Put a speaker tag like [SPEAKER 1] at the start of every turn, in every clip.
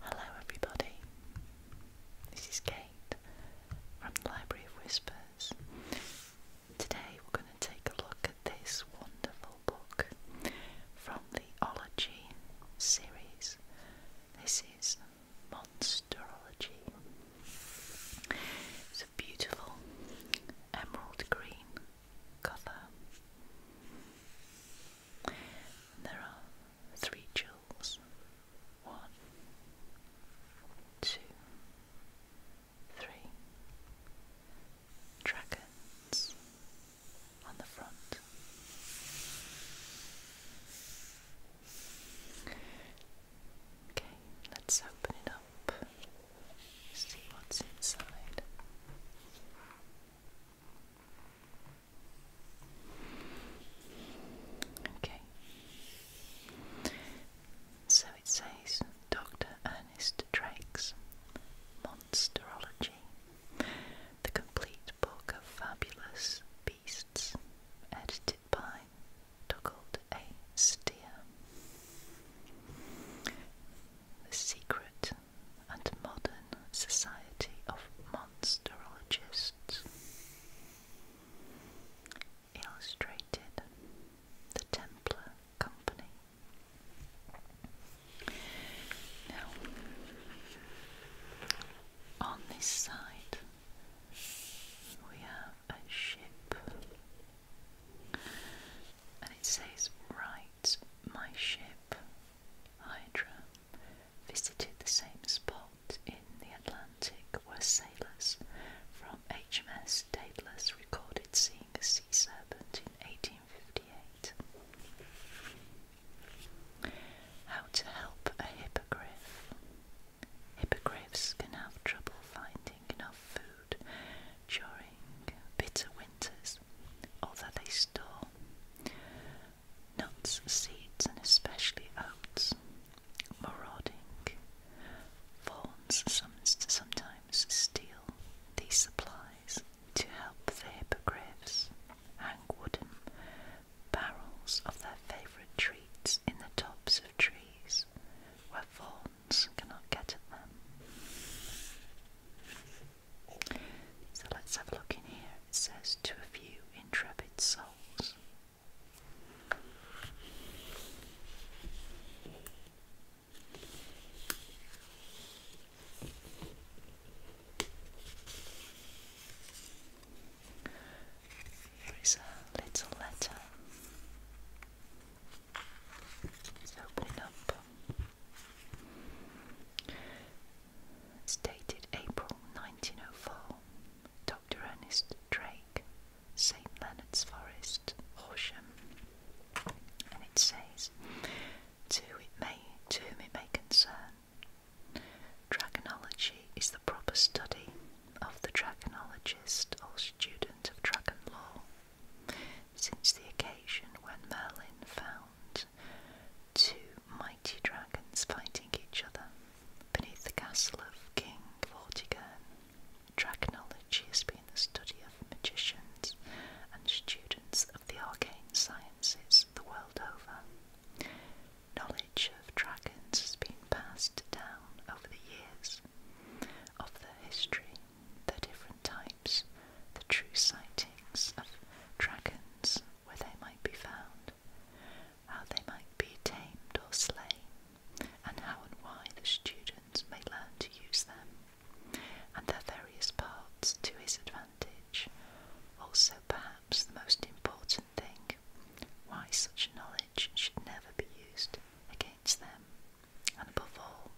[SPEAKER 1] Hello, everybody. This is Kate from the Library of Whispers. Today, we're going to take a look at this wonderful book from the Ology series. This is Monsterology. It's a beautiful emerald green cover there are three jewels. One, two, three. Dragons on the front. Okay, let's open it up, see what's inside. Okay. So it says Dr. Ernest Drake's Monsterology, the complete book of fabulous beasts, edited by Donald A. Steer. The secret and Modern Society of Monsterologists illustrated The Templar Company. Now, on this side, we have a ship, and it says, Right, my ship, Hydra visited the same spot in the Atlantic where sailors from HMS Daedalus recorded seeing a sea serpent in 1858. How to help a hippogriff. Hippogriffs can have trouble finding enough food during bitter winters, although they store nuts, seeds, and especially oats. Marauding fawns sometimes steal these supplies to help the hippogriffs hang wooden barrels of their favourite treats in the tops of trees where fawns cannot get at them. So let's have a look in here. It says, To a few intrepid souls. Here is a little letter. It's opening up. It's dated April 1904. Dr. Ernest Drake, St. Leonard's Forest, Horsham. And it says, To, it may, to whom it may concern, Dragonology is the proper study of the dragonologist or student of dragon law since the occasion when Merlin found two mighty dragons fighting each other beneath the castle of King Vortigern, dragonology has been the study of magicians and students of the arcane sciences the world over. Knowledge of dragons has been passed down over the years of their history their different types, the true sightings of dragons, where they might be found, how they might be tamed or slain, and how and why the students may learn to use them, and their various parts to his advantage. Also, perhaps the most important thing, why such knowledge should never be used against them and above all,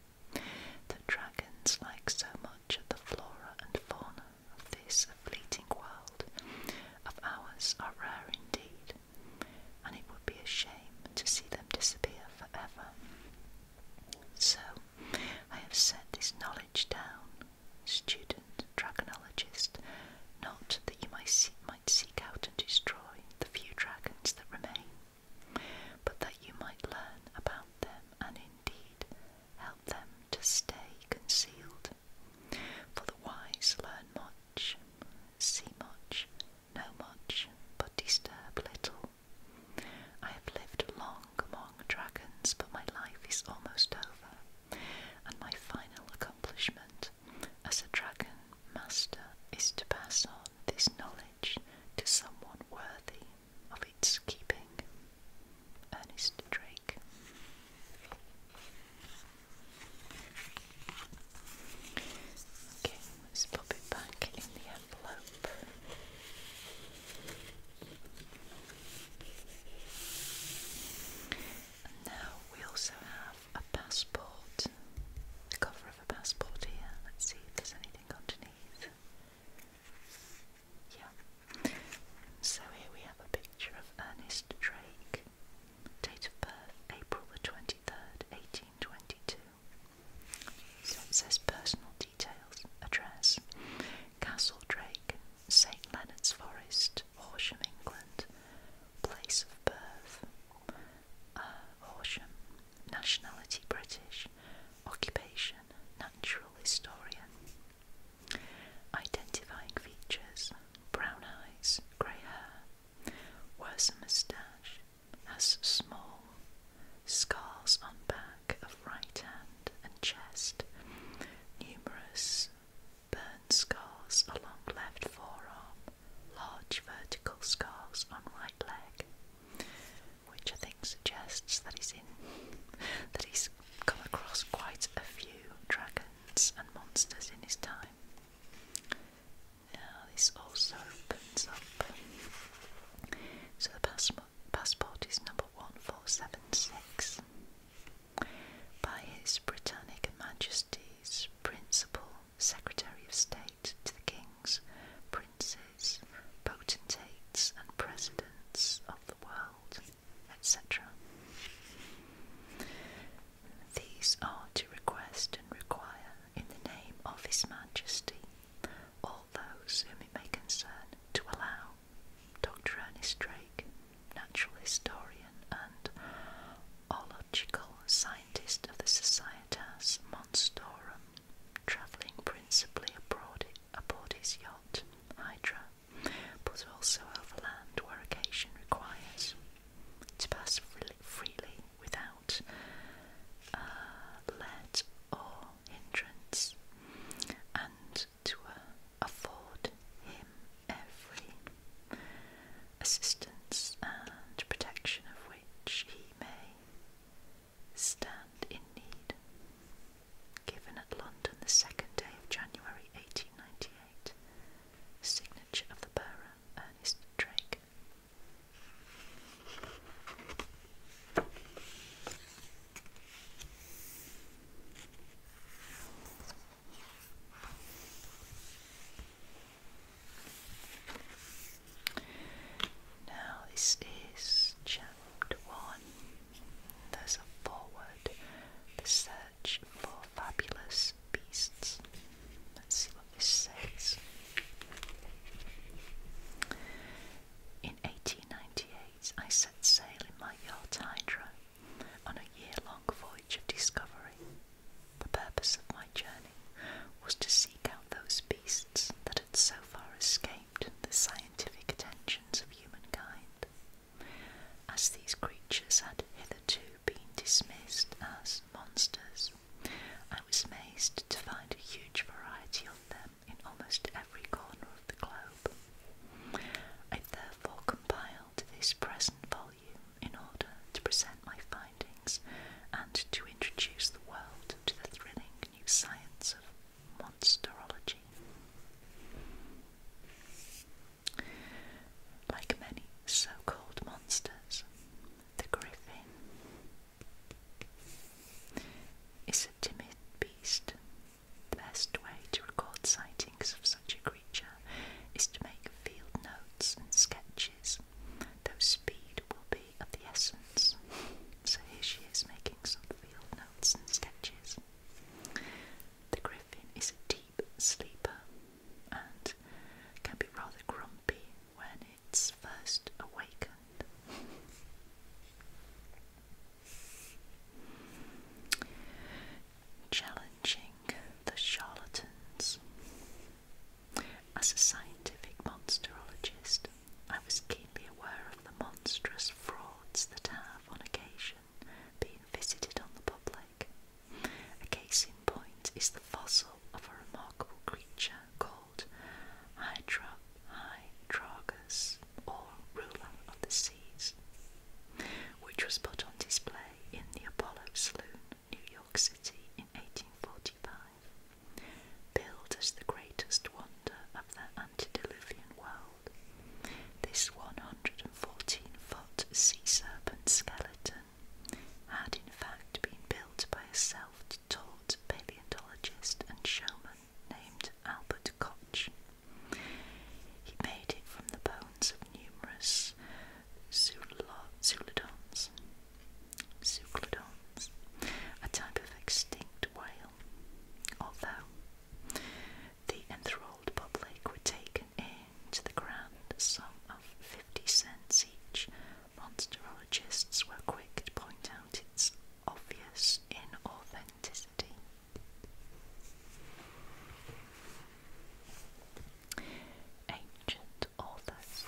[SPEAKER 1] the dragons, like so much of the flora and fauna of this fleeting world of ours, are rare indeed, and it would be a shame to see them disappear forever. So, I have set this knowledge down, student dragonologist, not that you might seek out and destroy the few dragons that remain, but that you might learn about them and indeed help them to stay concealed. For the wise learn much, see much, know much, but disturb little. I have lived long among dragons, but my life is almost over, and my final accomplishment as a dragon master is to pass on this knowledge to someone worthy of its keeping. Ernest Drake. Okay, let's pop it back in the envelope. And now we also have a passport, the cover of a passport here. Let's see if there's anything underneath. Yeah. So here we have a picture of Ernest Drake, date of birth April the 23rd, 1822. So it says personal details, address, Castle Drake, St Leonard's Forest, Horsham, England, place of birth, uh, Horsham, nationality British, occupation natural historian. Identifying features brown eyes, grey hair, wears moustache, has small scars on back of right hand and chest, numerous burn scars along left forearm, large vertical scars on right leg, which I think suggests that he's that he's come across quite a few dragons and monsters in his time. this also opens up. So the pass passport is number one four seven six. By His Britannic Majesty's Principal Secretary of State to the kings, princes, potentates, and presidents of the world, etc. These are to request and require, in the name of His Majesty, all those whom it may concern to allow. Dr. Ernest Drake, natural historian and ological scientist of the Societas Monstorum, travelling principally abroad, aboard his yacht, Hydra, but also overland where occasion requires, to pass freely without uh, let or hindrance, and to uh, afford him every assistance and protection of which he may stand in need. Given at London the second day of January 1898, signature of the bearer, Ernest Drake. Now, this is chapter one. There's a forward, the search for fabulous beasts. Let's see what this says. In 1898, I set sail in my yacht Hydra on a year long voyage of discovery. The purpose of my journey was to seek out those beasts that had so far escaped the scientific attentions of humankind, as these creatures had hitherto been dismissed as monsters. I was amazed to find a huge variety of them in almost every corner of the globe. I therefore compiled this present volume in order to present my findings and to introduce the world to the thrilling new science of monsterology. Like many so called monsters, the griffin is a timid beast. The best way to record sightings of such a creature is to make field notes and sketches, though speed will be of the essence. So here she is making some field notes and sketches. The griffin is a deep sleeper and can be rather grumpy when it's first awakened. Challenging the charlatans. As a scientific monsterologist, I was keenly aware of the monstrous frauds that have, on occasion, been visited on the public. A case in point is the fossil of a remarkable creature called Hydra or ruler of the seas, which was put on display in the Apollo Saloon, New York City, in 1845. Built as the greatest wonder of the antediluvian world. This 114-foot sea serpent skeleton had in fact been built by a self-taught paleontologist and showman named Albert Koch. He made it from the bones of numerous zoolodons Zeuglodons, a type of extinct whale, although the enthralled public were taken in to the grand sum of 50 cents each, monsterologists were quick to point out its obvious inauthenticity. Ancient authors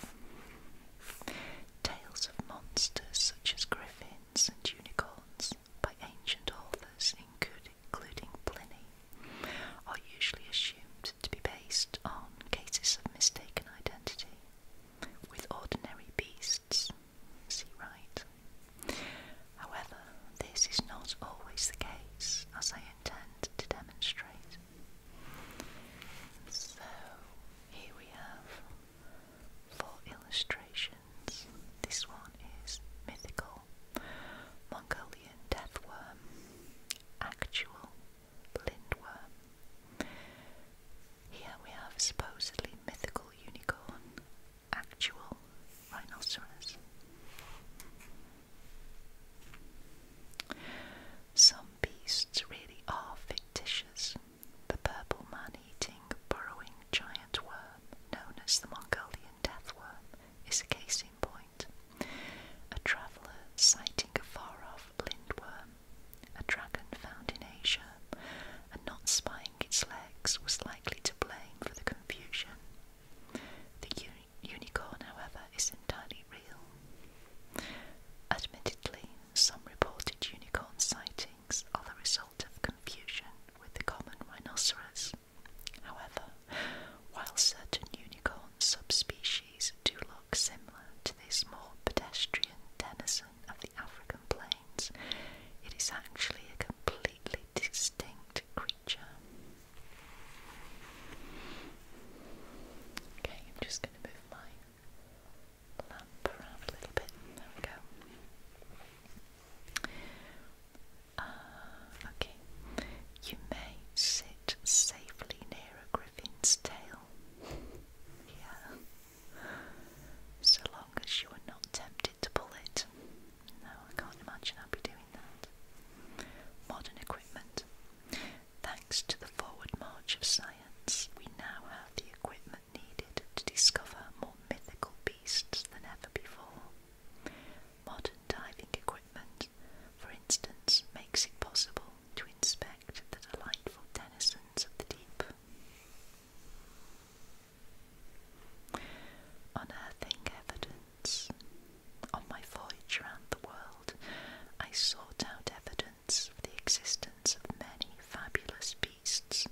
[SPEAKER 1] tales of monsters such as griffins and unicorns by ancient authors, including Pliny, are usually assumed to be based on cases of mistaken identity with ordinary beasts. See right. However, this is not always the case, as I intend to demonstrate. So, here we have for illustrations, this one is mythical, Mongolian death worm, actual lindworm. Here we have supposedly mythical unicorn, actual rhinoceros. Some beasts really are fictitious, the purple man-eating, burrowing giant worm known as the Mongolian death worm, is a case in point. A traveller sighting a far-off lindworm, a dragon found in Asia, and not spying its legs was likely to blame for the confusion. The unicorn, however, is entirely real. Admittedly, some reported unicorn sightings are the result of confusion with the common rhinoceros. However, while certain unicorn subspecies do look similar to this more pedestrian denizen of the African plains, it is actually a completely distinct creature. Okay, I'm just going to move my lamp around a little bit. There we go. Ah, okay. You may sit safely near a griffin's tail. yeah. So long as you are not tempted to pull it. No, I can't imagine I'd be doing that. Modern equipment. Thanks to the forward march of science, we now have the equipment needed to discover more mythical beasts than ever before. Modern diving equipment, for instance, makes it possible to inspect the delightful denizens of the deep. Unearthing evidence. On my voyage round the world, I sought out evidence of the existence of many fabulous beasts,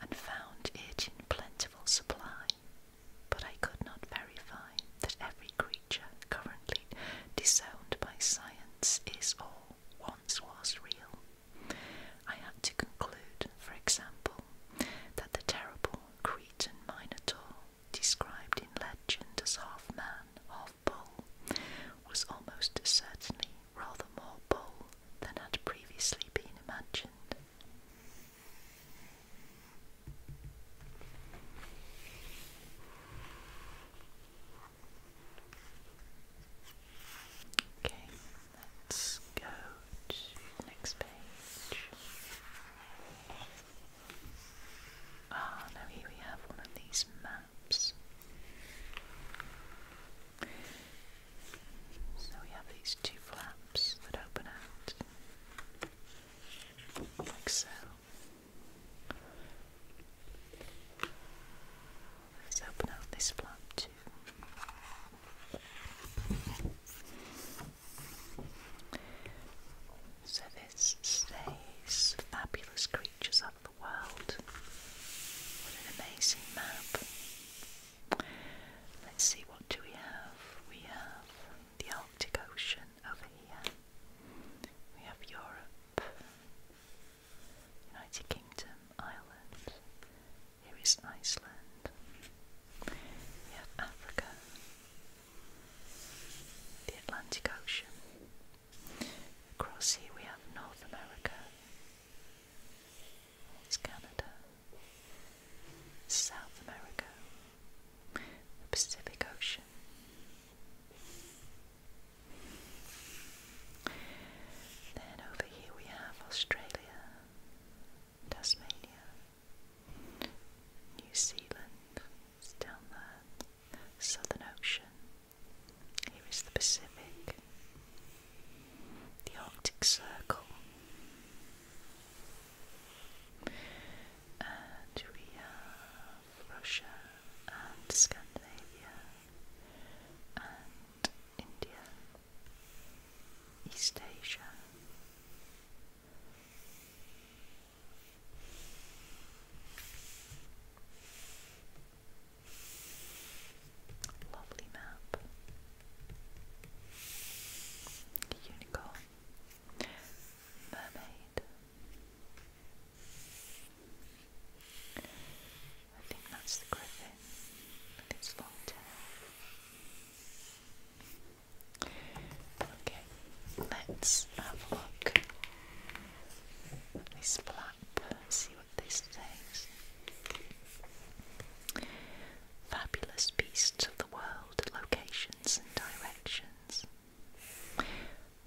[SPEAKER 1] and found it in plentiful supply, but I could not verify that every creature currently disowned by science is or once was real. I had to conclude, for example, that the terrible Cretan Minotaur, described in legend as half man, half was almost certainly rather more pole than had previously been imagined. Okay, let's go to next page. Ah, now here we have one of these maps. So we have these two flaps that open out, like so. Let's open out this flap too. So this says fabulous creatures of the world. What an amazing map. Let's see, what do we have? We have the Arctic Ocean over here. We have Europe, United Kingdom, Ireland. Here is Iceland. We have Africa, the Atlantic Ocean, Across here we have North America. It's Canada, South America, the Pacific Ocean. Then over here we have Australia, Tasmania, New Zealand, down there, Southern Ocean, here is the Pacific, the Arctic Circle, and we have Russia and Scandinavia and India, East Asia. Lovely map. Unicorn. Mermaid. I think that's the griffin with long tail. Okay, let's have a look this flower see what this says. Fabulous beasts of the world, locations and directions.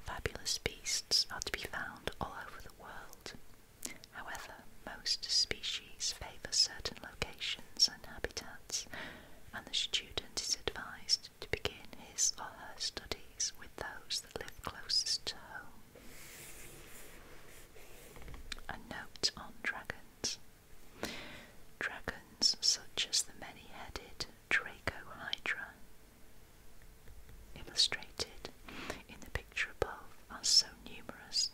[SPEAKER 1] Fabulous beasts are to be found all over the world. However, most species favour certain locations and habitats, and the student is advised to begin his or her studies with those that live closest to home. A note on dragons. Dragons such as the many-headed Draco Hydra, illustrated in the picture above, are so numerous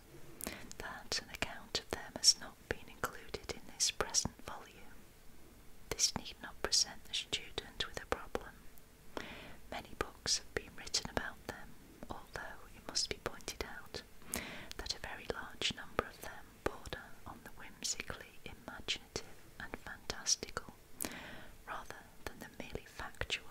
[SPEAKER 1] that an account of them has not been included in this present volume. This need not present the student with a problem Many books have been written about them, although it must be pointed out that a very large number of them border on the whimsically imaginative and fantastical rather than the merely factual.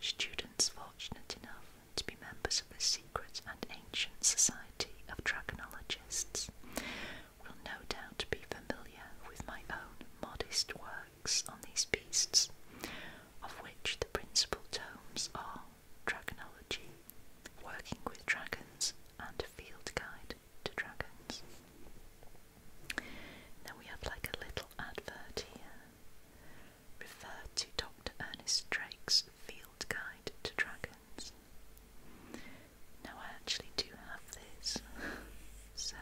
[SPEAKER 1] Students fortunate enough to be members of the secret and ancient society of dragonologists will no doubt be familiar with my own modest works on these beasts, of which the principal tomes are Dragonology, Working with Dragons, and Field Guide to Dragons. Now we have like a little advert here. Refer to Dr. Ernest Drake's Field Guide to Dragons. Now I actually do have this, so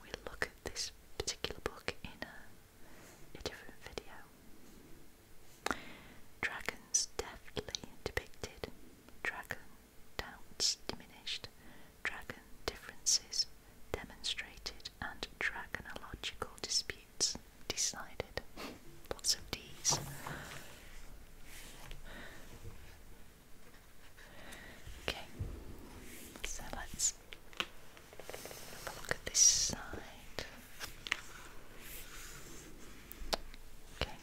[SPEAKER 1] we'll look at this particular book in a, a different video. Dragons deftly depicted, dragon doubts diminished, dragon differences demonstrated, and dragonological disputes decided. Lots of D's. Okay, so let's have a look at this side. Okay.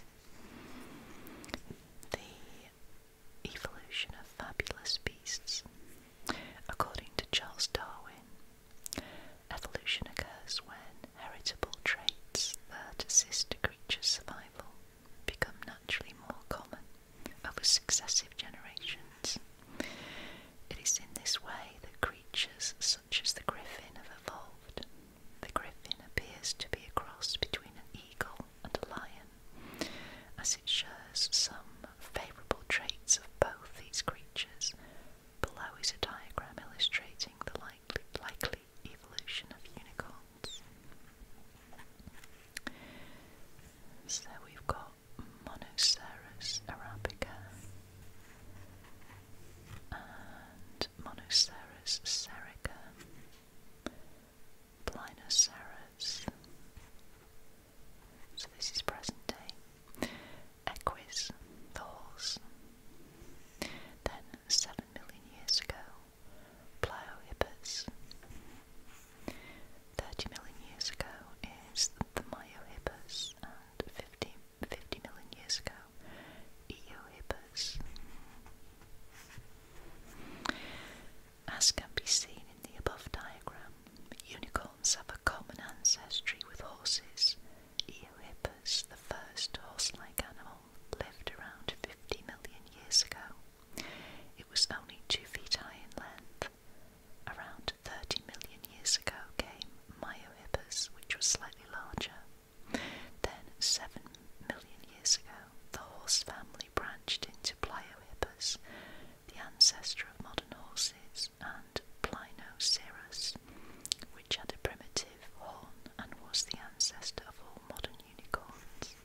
[SPEAKER 1] The evolution of fabulous beasts. According to Charles Darwin, evolution occurs when heritable traits that assist a creature's survival become naturally more common over successive generations. It is in this way that creatures such as the griffin have evolved. The griffin appears to be a cross between an eagle and a lion, as it shares some favourable traits of both these creatures. Below is a diagram illustrating the likely evolution of unicorns. So we've got Monoceros arabica and Monoceros serica, Plinoceros. So this is present day. Equus, the Then seven million years ago, Pliohippus. Thirty million years ago is the Myohippus, and 50, 50 million years ago, Eohippus. As can be seen in the above diagram, unicorns have a common ancestry with horses. Eohippus, the first horse like animal, lived around 50 million years ago. It was only two feet high in length. Around 30 million years ago came Myohippus, which was slightly larger. Then, 7 million years ago, the horse family branched into Pliohippus, the ancestor of modern horses, and Plinoceros, which had a primitive horn and was the ancestor of all all modern unicorns.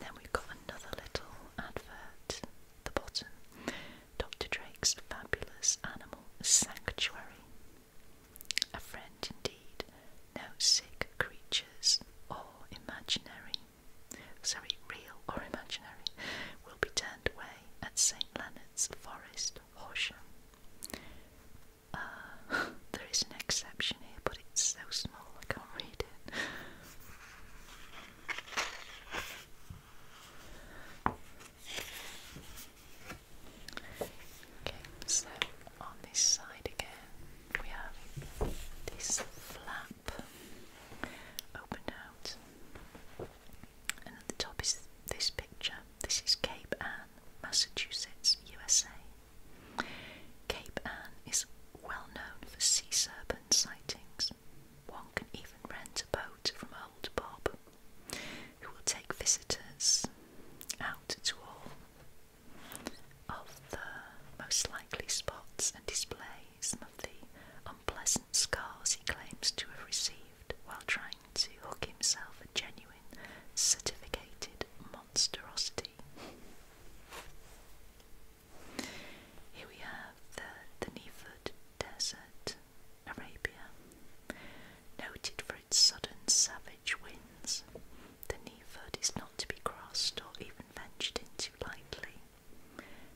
[SPEAKER 1] then we've got another little advert at the bottom Dr. Drake's Fabulous Animal Sanctuary. A friend indeed, no sick creatures or imaginary, sorry, real or imaginary, will be turned away at St. Leonard's Forest, Horsham. Uh, there is an exception here, but it's so small I can't read it. Okay, so on this side again, we have this flap opened out, and at the top is this picture. This is Cape Ann, Massachusetts, USA. Cape Ann is well known for sea serpent sightings. One can even rent a boat from Old Bob, who will take visitors out to all of the most likely spots and display some of the unpleasant scars he claims to have received while trying to hook himself a genuine certificated monstrosity. Here we have the Dneiphoid Desert, Arabia. Noted for its sudden savage winds, the Dneiphoid is not to be crossed or even ventured into lightly.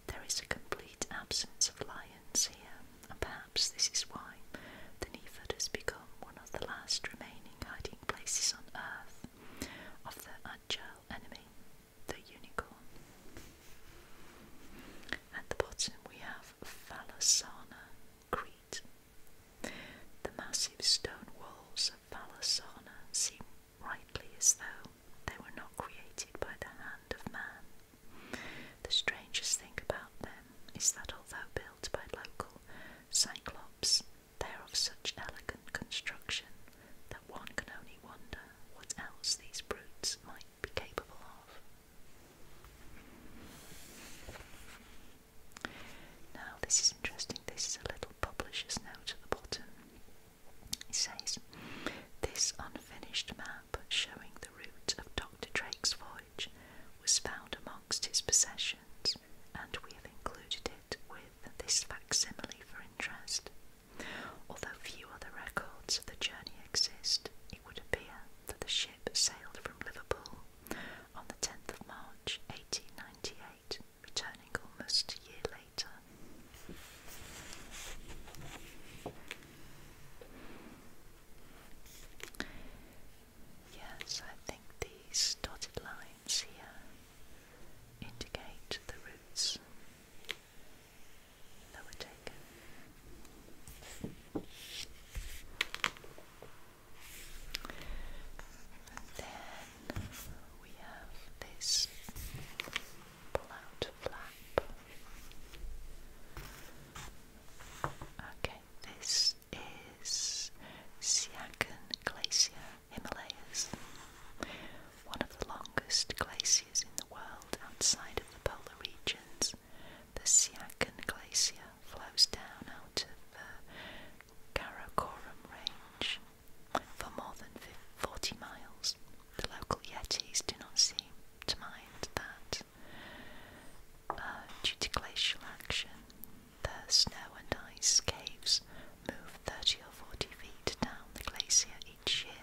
[SPEAKER 1] There is a complete absence of lions here, and perhaps this is why the Dneiphoid has become one of the last remaining hiding places on earth of the agile enemy, the unicorn. At the bottom, we have Falasana, Crete. The massive stone walls of Falasana seem rightly as though they were not created by the hand of man. The strangest thing about them is that although built by local cyclops they are of such elegant construction that one can only wonder what else these brutes might be capable of. Now, this is interesting. This is a little publisher's note at the bottom. It says, This unfinished map showing the route of Dr. Drake's voyage was found amongst his possessions and we have included it with this facsimile for interest. Although few other records of the journey exist, it would appear that the ship sailed from Liverpool on the 10th of March 1898, returning almost a year later. Yes, I think these dotted lines here indicate the roots that were taken. then we have this pull-out flap. Okay, this is Siachen Glacier, Himalayas, one of the longest glaciers in the world outside of the polar regions. The Siachen Glacier flows down out of the Karakoram Range for more than 40 miles. The local Yetis do not seem to mind that. Uh, due to glacial action, the snow and ice caves move 30 or 40 feet down the glacier each year.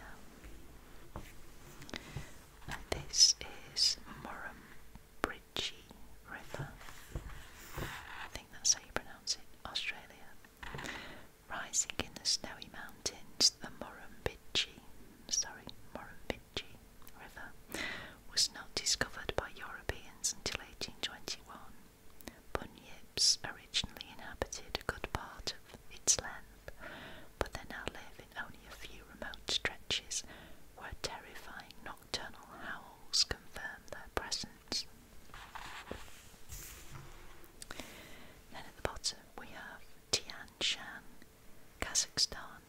[SPEAKER 1] this is Murrumbidgee River. I think that's how you pronounce it, Australia. Rising in the snowy mountains, the Murrumbidgee, sorry, Murrumbidgee River was not discovered by Europeans until 1821. Bunyips originally inhabited a good part of its length, but they now live in only a few remote stretches where terrifying nocturnal howls confirm their presence. Then at the bottom we have Tian Shan, Kazakhstan,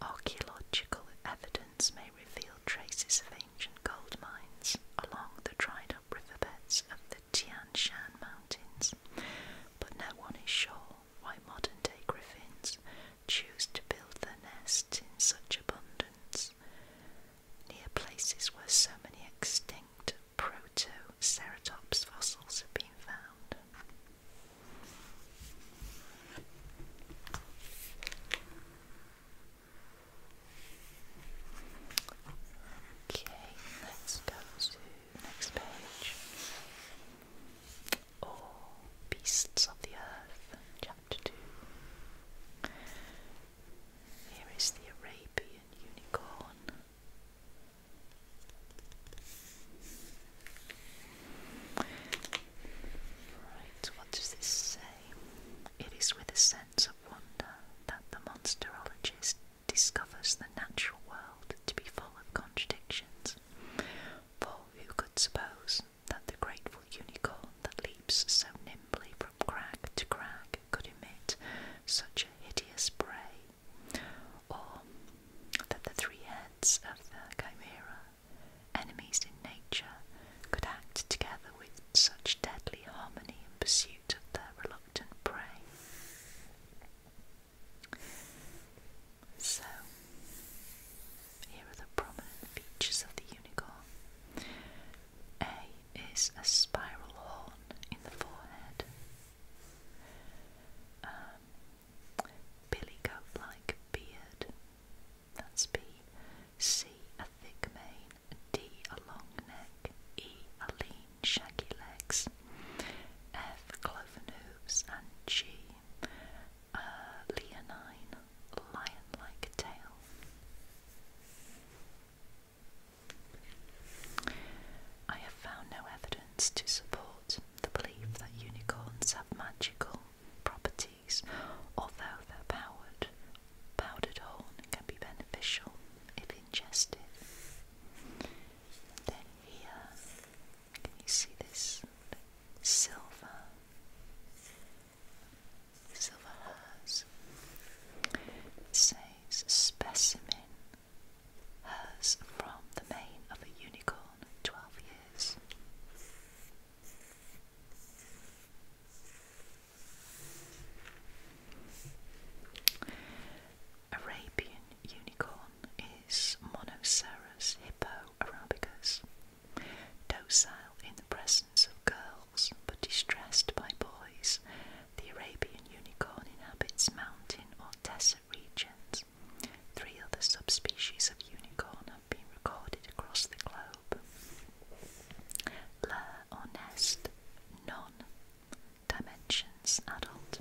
[SPEAKER 1] Archaeological evidence may reveal traces of ancient gold mines along the dried up riverbeds of the Tian Shan Mountains, but no one is sure why modern day griffins choose to build their nests in such abundance near places where so many extinct proto-ceratops fossils have been found. Okay, let's go to next page. All Beasts of the Earth, Chapter 2. Here is the Arabian Unicorn. Right, what does this say? It is with a sense of wonder that the monsterologist discovers the natural world to be full of contradictions. For who could suppose that the grateful unicorn that leaps so nimbly from crag to crag could emit such a hideous bray? Or that the three heads of the chimera Enemies in nature could act together with such deadly harmony in pursuit of their reluctant prey. So, here are the prominent features of the unicorn. A is a spiral horn in the forehead. Um, like beard that's B. C, a thick mane. D, a long neck. E, a lean, shaggy legs. F, cloven hooves. And G, a leonine, lion-like tail. I have found no evidence to support the belief that unicorns have magical properties although the powdered, powdered horn can be beneficial if ingested. then here, can you see this silver? Silver hers. It says specimen hers from the mane of a unicorn, twelve years. Arabian unicorn is Monoceros hippoarabicus, docile in the presence of girls but distressed by boys. The Arabian unicorn inhabits mountain or desert regions Three other subspecies of unicorn have been recorded across the globe. Lair or nest, none. Dimensions, adult,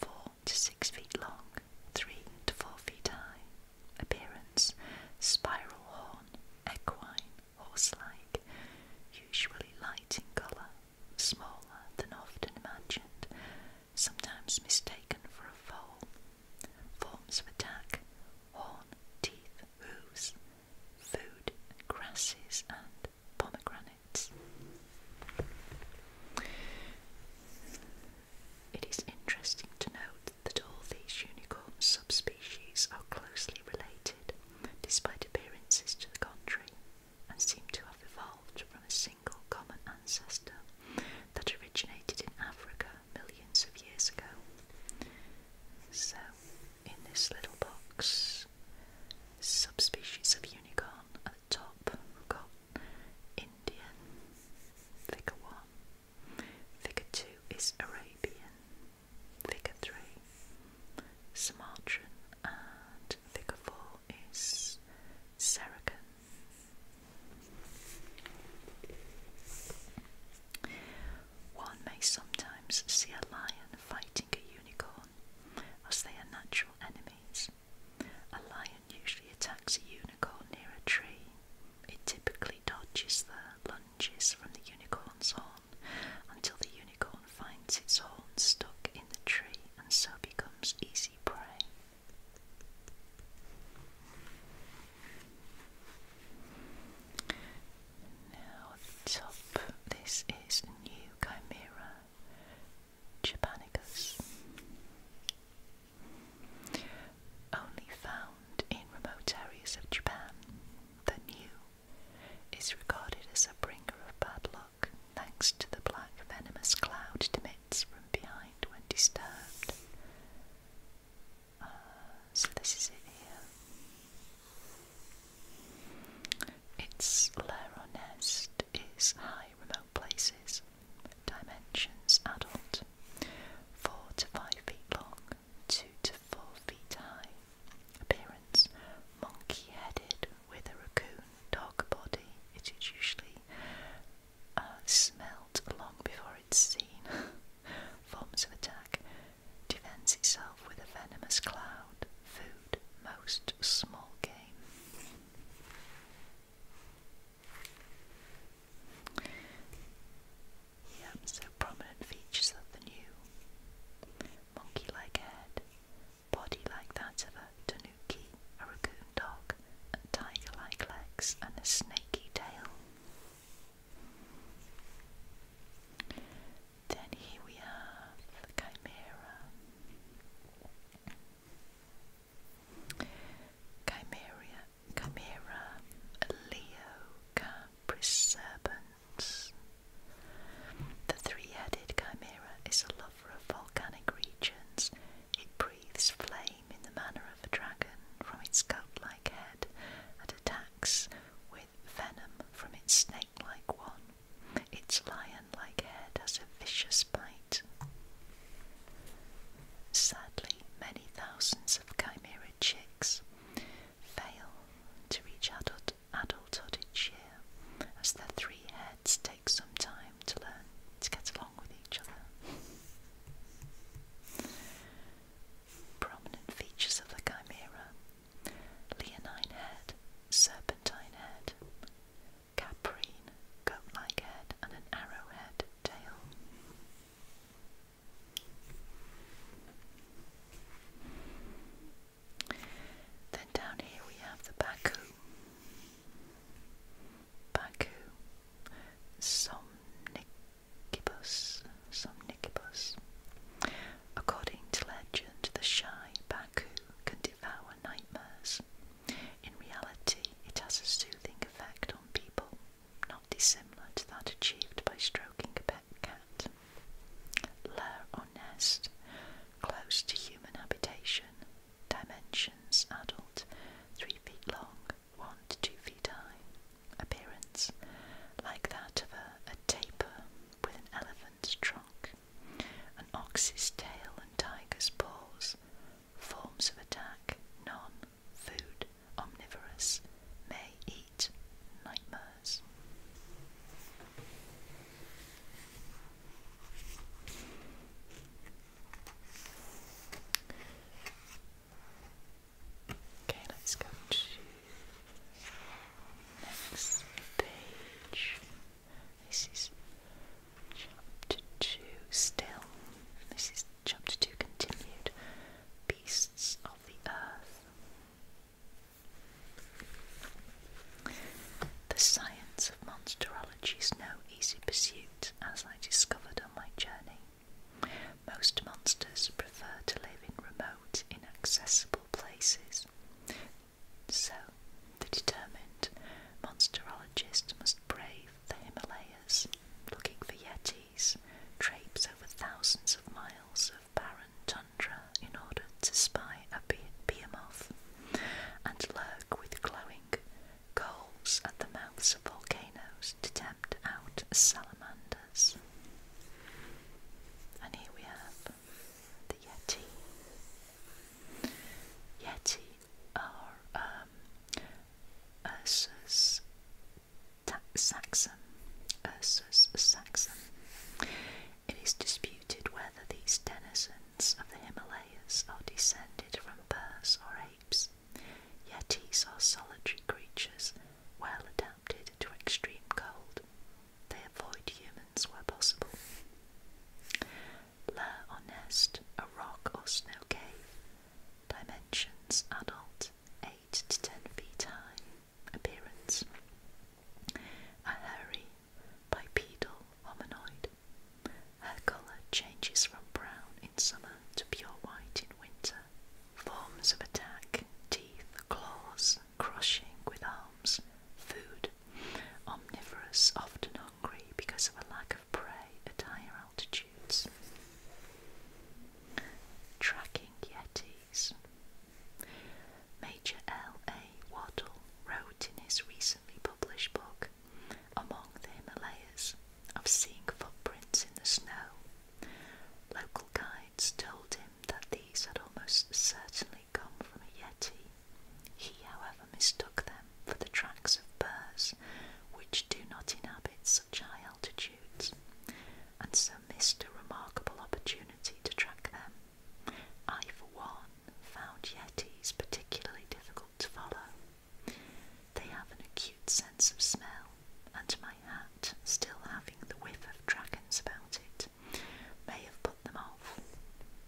[SPEAKER 1] 4 to 6 feet long, 3 to 4 feet high. Appearance, spiral horn, equine, horse-like, usually light in colour, smaller than often imagined, sometimes mistaken for a foal. Forms of attack, horn, teeth, hooves, food, grasses, and pomegranates. It is interesting to note that all these unicorn subspecies are closely related, despite appearances to the contrary, and seem to have evolved from a single common ancestor, that originated in Africa millions of years ago. So, in this little box, subspecies of unicorn at the top, got Indian, figure 1, figure 2 is Arabian, figure 3, Sumatran, and figure 4 is Seracan. One may sometimes see a lion fighting a unicorn, as they are natural enemies. A lion usually attacks a unicorn near a tree. It typically dodges the lunges from the unicorn's horn until the unicorn finds its horn stuck in the tree and so becomes easy prey. Now top, this is New Chimera japanicus. Only found in remote areas of Japan, the new is regarded as a bringer of bad luck thanks to the black venomous cloud it emits from behind when disturbed. Uh, so this is it here. Its lair or nest is high, remote places. Dimensions adult, four to five feet long, two to four feet high. Appearance monkey-headed with a raccoon dog body. It is usually uh, smelt long before it's seen. Forms of attack defends itself with a venomous cloud, food, most small game. so prominent features of the new monkey like head, body like that of a tanuki, a dog and tiger like legs and a snaky tail. Then here we have the chimera. Chimera, chimera, Leo, Capricerans. The three-headed chimera is a lover of volcanic regions it breathes flame in the manner of a dragon from its goat like head and attacks with venom from its snake like one. Its lion like head has a vicious bite. Sadly, many thousands of chimera chicks fail to reach adulthood each year, as their three heads take some time to learn to get along. Prominent features of the chimera leonine head, serpentine head, caprine, goat like head, and an arrowhead tail. Then down here we have the Baku. Baku, Somnicibus, Somnicibus. According to legend, the shy Baku can devour nightmares. In reality, it has a soothing effect on people, not dissimilar to that achieved by stroking a pet cat. Lair or nest, close to human habitation, dimensions adult, 3 feet long, one to two feet high, appearance like that of a, a tapir with an elephant's trunk, an ox's tail, and tiger's paws. Forms of attack non food omnivorous may eat nightmares. Okay, let's go to next page. This is chapter two still. This is chapter two continued. Beasts of the Earth. The science of monsterology is no easy pursuit as I discovered on my journey. Most monsters prefer to live in remote, inaccessible places. So, the determined monsterologist must brave the Himalayas, looking for yetis, traipse over thousands of miles of barren tundra in order to spy a behemoth, and lurk with glowing coals at the mouths of volcanoes to tempt out salamanders. And here we have the Yeti. Yeti are um, Saxon. Ursus Saxon. It is disputed whether these denizens of the Himalayas are descended from birds or apes, Yetis are solitary creatures well adapted to extreme cold. They avoid humans where possible. Lair or nest, a rock or snow cave. Dimensions adult, 8 to 10 feet high. Appearance a hairy bipedal hominoid her colour changes from brown in summer to pure white in winter. Forms of attack, teeth, claws, crushing with arms, food, omnivorous, often hungry because of a lack of prey at higher altitudes. Tracking Yetis. Major L. A. Waddell wrote in his recently published book among the Himalayas of seeing footprints in the snow. Local guides told him that these had almost certainly come from a yeti. He, however, mistook them for the tracks of bears, which do not inhabit such high altitudes, and so missed a remarkable opportunity to track them. I, for one, found yetis particularly difficult to follow. They have an acute sense of smell, and my hat, still having the whiff of dragons about it, may have put them off.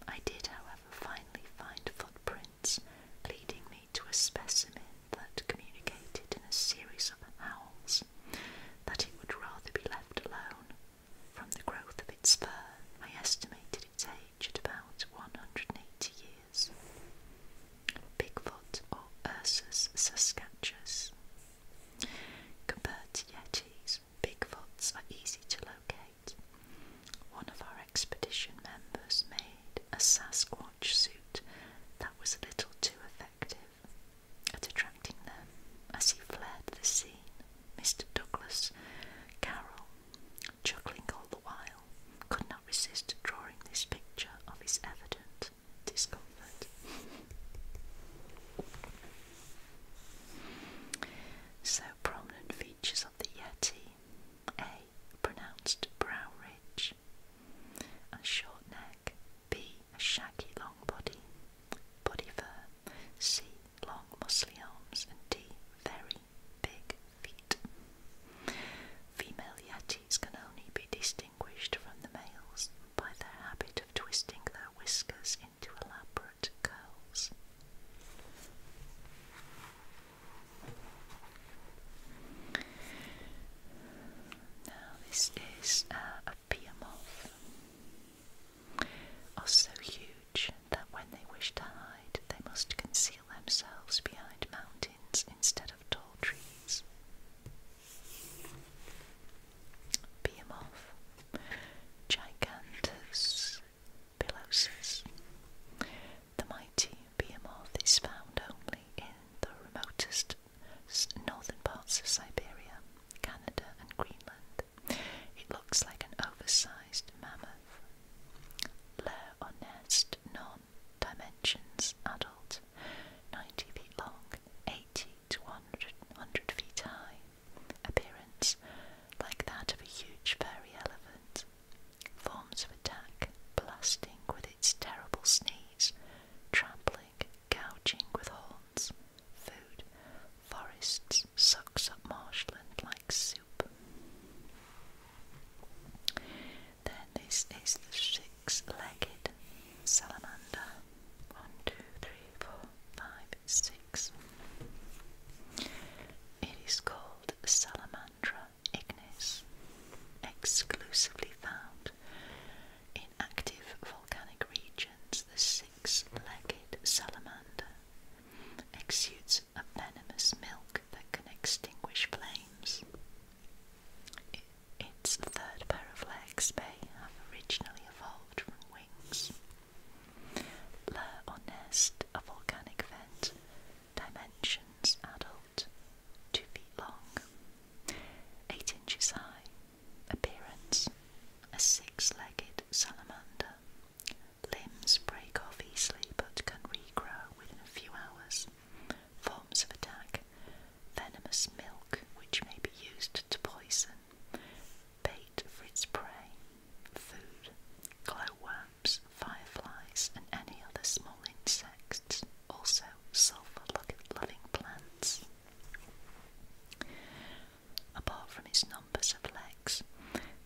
[SPEAKER 1] I did, however, finally find footprints leading me to a specimen that communicated in a series of howls that it would rather be left alone. From the growth of its fur, I estimated its aged about 180 years. Bigfoot or Ursus saskatcheus. Compared to yetis, Bigfoots are easy to locate. One of our expedition members made a Sasquatch suit that was a little too effective at attracting them as he fled the scene. Mr. Douglas Carroll Chuckling all the while, could not resist drawing this picture of his evident discomfort. so prominent features of the Yeti. A. Pronounced brow ridge. A short neck. B. A shaggy long body. Body fur. C. Long muscly arms. And D. Very big feet. Female yetis can only be distinguished from the males by their habit of twisting their whiskers into elaborate curls. Now, this is uh, a pier moth, oh, huge that when they wish to hide, they must conceal themselves behind mountains instead of tall trees. Behemoth, Gigantus pilosus. The mighty behemoth is found only in the remotest northern parts of Siberia, Canada, and Greenland. It looks like an oversized mammoth. Lair or nest non dimensions adult, 90 feet long, 80 to 100, 100 feet high, appearance like that of a huge furry elephant, forms of attack blasting with its terrible sneeze, trampling, gouging with horns. Food. Forests sucks up marshland like then this is the six-legged salamander. One, two, three, four, five, six. It is called Salamandra ignis, exclusively found in active volcanic regions. The six-legged salamander exudes a venomous milk that can extinguish flames. It, its third pair of legs may have originally evolved from wings. Lair or nest, a volcanic vent, dimensions adult, 2 feet long, 8 inches high, appearance, a six legged salamander, Limbs break off easily but can regrow within a few hours. Forms of attack venomous milk, which may be used to poison, bait for its prey, food, glowworms, fireflies, and any other small insects, also sulfur loving plants. Apart from its numbers of legs,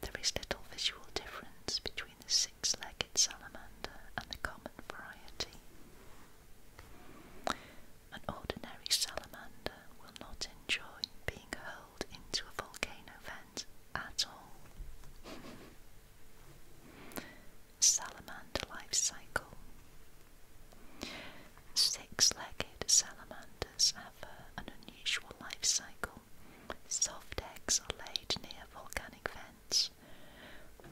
[SPEAKER 1] there is little visual difference between the six-legged salamander and the common variety. An ordinary salamander will not enjoy being hurled into a volcano vent at all. Salamander life cycle. Six legged salamanders have an unusual life cycle Soft eggs are laid near volcanic vents.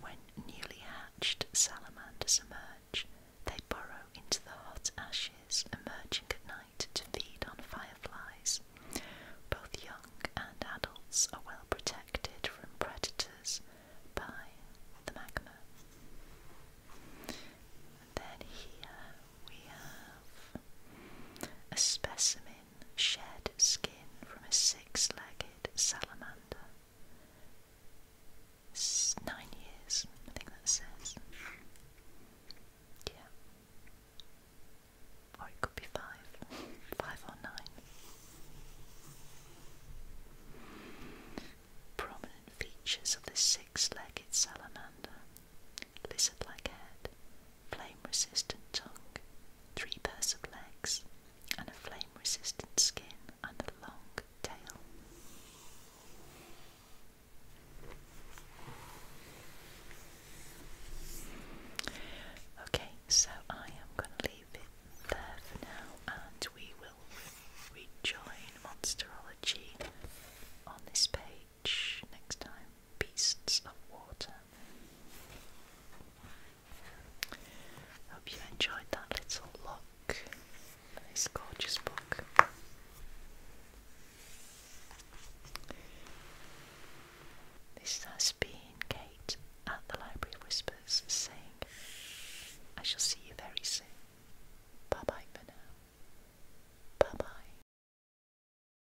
[SPEAKER 1] When newly hatched salamanders emerge, they burrow into the hot ashes, emerging at night to feed on fireflies. Both young and adults are well protected from predators by the magma. then here we have a specimen shed skin from a six legged salamander. nine years, I think that says. Yeah. Or it could be five. Five or nine. Prominent features of the six legged salamander lizard like head, flame resistant tongue, three pairs of legs, and a flame resistant skin and a long tail. Okay, so I am going to leave it there for now, and we will rejoin Monsterology on this page next time Beasts of Water. Hope you enjoyed that little look. Nice, gorgeous book. This has been Kate at the Library Whispers saying, I shall see you very soon. Bye bye for now. Bye bye.